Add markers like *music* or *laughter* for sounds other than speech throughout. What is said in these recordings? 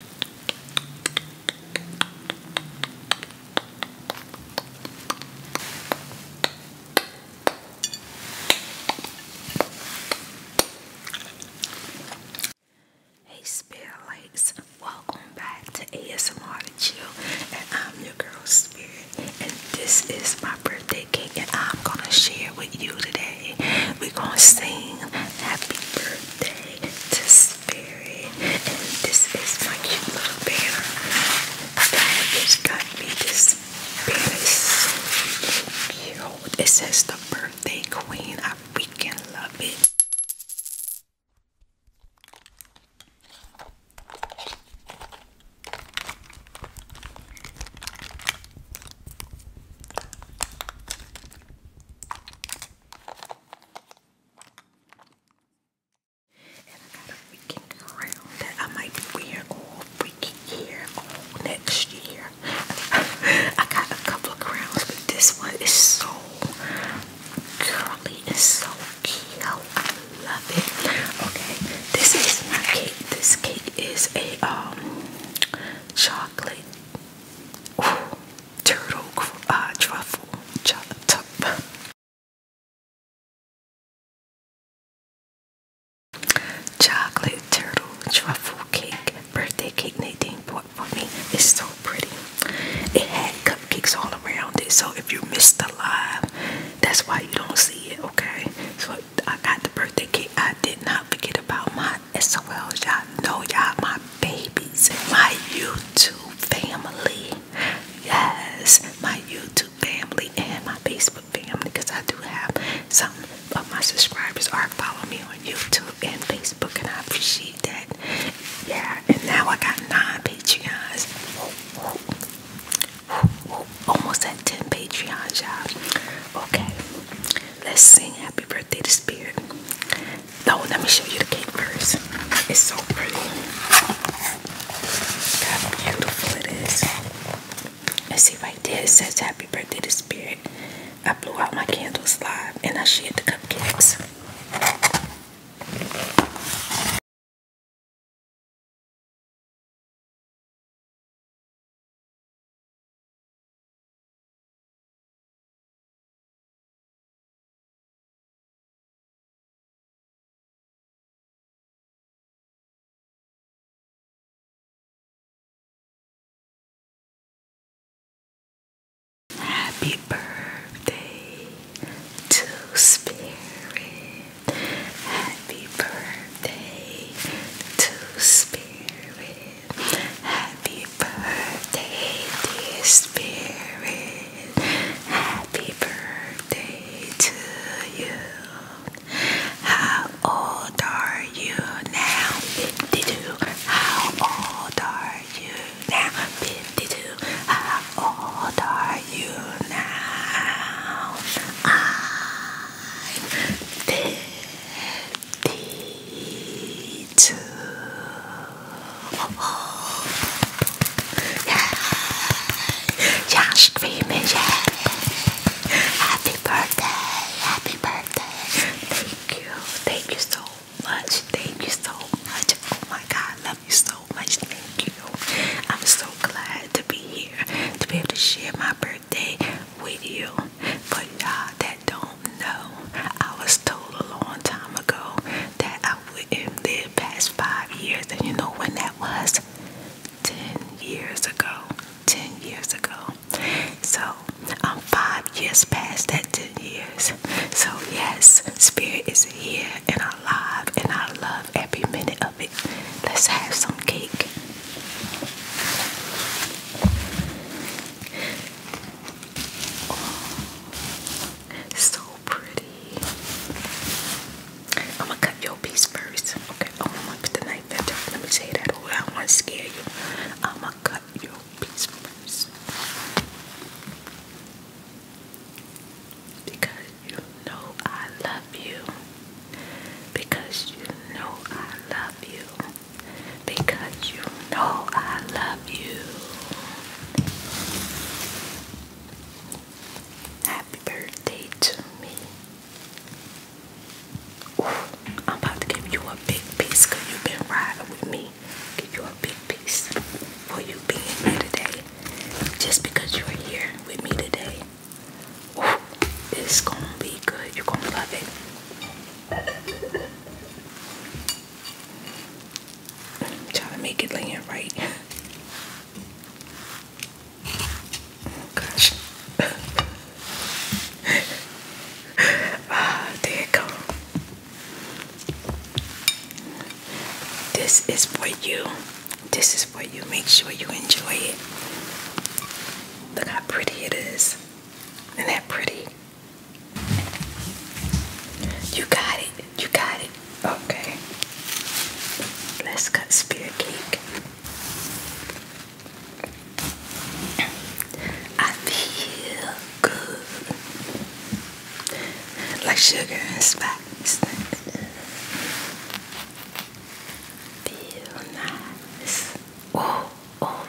Hey spirit Lakes, welcome back to ASMR to Chill and I'm your girl Spirit and this is my birthday cake and I'm gonna share with you today. We're gonna sing happy birthday to Spirit, and this is my cute little banner that just got me. This banner is so cute. It says the birthday queen. I freaking love it. And I got a freaking crown that I might be all freaking year, next year. I got a couple of crowns, but this one is so curly and so cute. I love it. Okay, this is my cake. This cake is a um chocolate turtle truffle chop. Chocolate turtle truffle cake, birthday cake Nadine bought for me. It's so pretty. It had cupcakes all around it, so if you missed the live, that's why you don't see it, okay? So I got the birthday cake. I did not forget about my SOL, y'all know y'all my babies, my YouTube family. Yes, my YouTube family and my Facebook family, because I do have some of my subscribers are following me on YouTube and Facebook, and I appreciate that. Yeah, and now I got nine Patreons. Almost at 10 Patreon, y'all. Okay, let's sing Happy Birthday to Spirit. No, let me show you the cake first. It's so pretty. how beautiful it is. And see right there, it says happy birthday to spirit. I blew out my candles live and I shared the cupcakes. Happy birthday to Spirit. Happy birthday to Spirit. Happy birthday, dear spirit. Happy birthday to you. How old are you now? 52. How old are you now? 52. How old are you now? I'm 52 two. Yeah. Yeah, Happy birthday, happy birthday. Thank you, thank you so much, thank you so much. Oh my God, love you so much, thank you. I'm so glad to be here, to be able to share my birthday with you. For y'all uh, that don't do I was told a long time ago that I wouldn't live past five years, and you know when that was? Ten years ago. Ten years ago. So I'm five years past that ten years. So yes, spirit is here and alive, and I love every minute of it. Let's have some cake. So pretty. I'm gonna cut your piece first. Okay, oh, I'm put the knife in. Let me say that. Oh, I scare you. I'm gonna cut your piece first. Because you know I love you. Because you know I love you. Because you know I love you. Happy birthday to me. I'm about to give you a big piece you've been riding with me. Give you a big piece for you being here today. Just because you're here with me today. it's gonna be good. You're gonna love it. Trying to make it land right. gosh. *laughs* ah, there it goes. This is for you. This is for you. Make sure you enjoy it. Look how pretty it is. Isn't that pretty? You got it. You got it. Okay. Let's cut spirit cake. I feel good. Like sugar and spice. Feel nice. Oh, oh.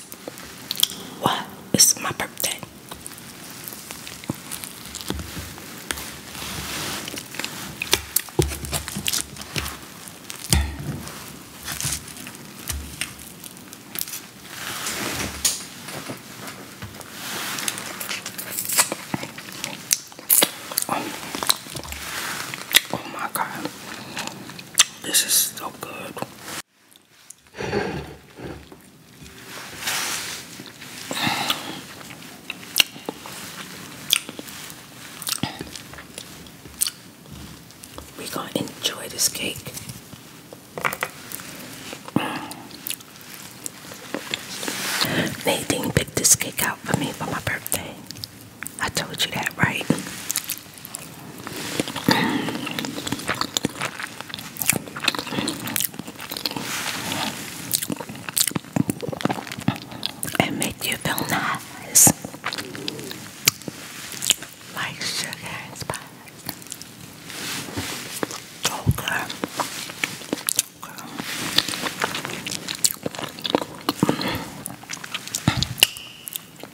What? It's my birthday. Oh, oh, my God, this is so good. We're going to enjoy this cake. Nadine picked this cake out for me for my birthday. I told you that, right? It makes you feel nice, like sugar and spice. So good.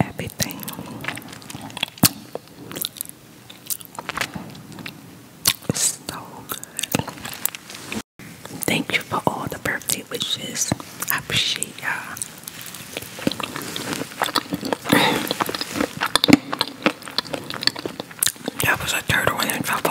everything. It's so good. Thank you for all the birthday wishes. I appreciate y'all. That was a turtle in a trouble.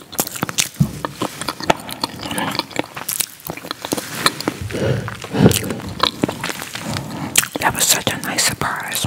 That was such a nice surprise.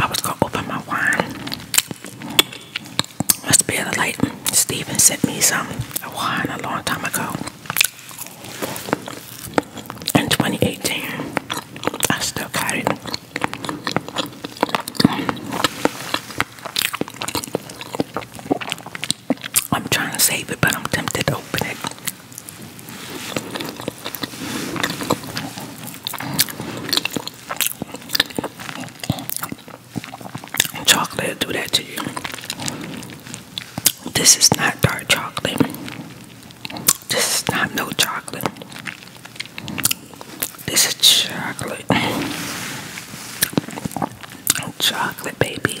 I was gonna open my wine. Must be the light. Steven sent me some a wine a long time ago. In 2018, I still carry it. I'm trying to save it, but I'm tempted to open it. And chocolate will do that to you. This is not dark chocolate. This is not no chocolate. This is chocolate. Chocolate, baby.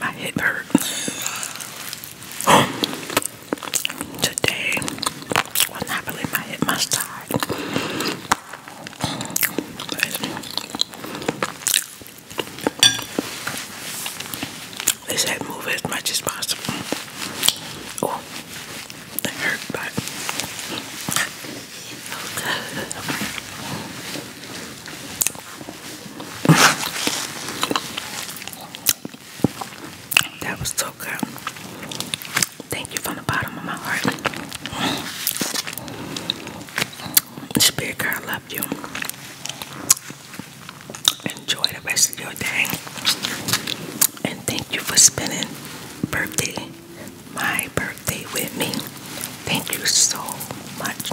my hip hurt. *gasps* Today, well, not my hip, my side. They said move as much as possible. Oh, that hurt, but. That was so good. Thank you from the bottom of my heart. Spirit girl, I love you. Enjoy the rest of your day. And thank you for spending birthday, my birthday with me. Thank you so much.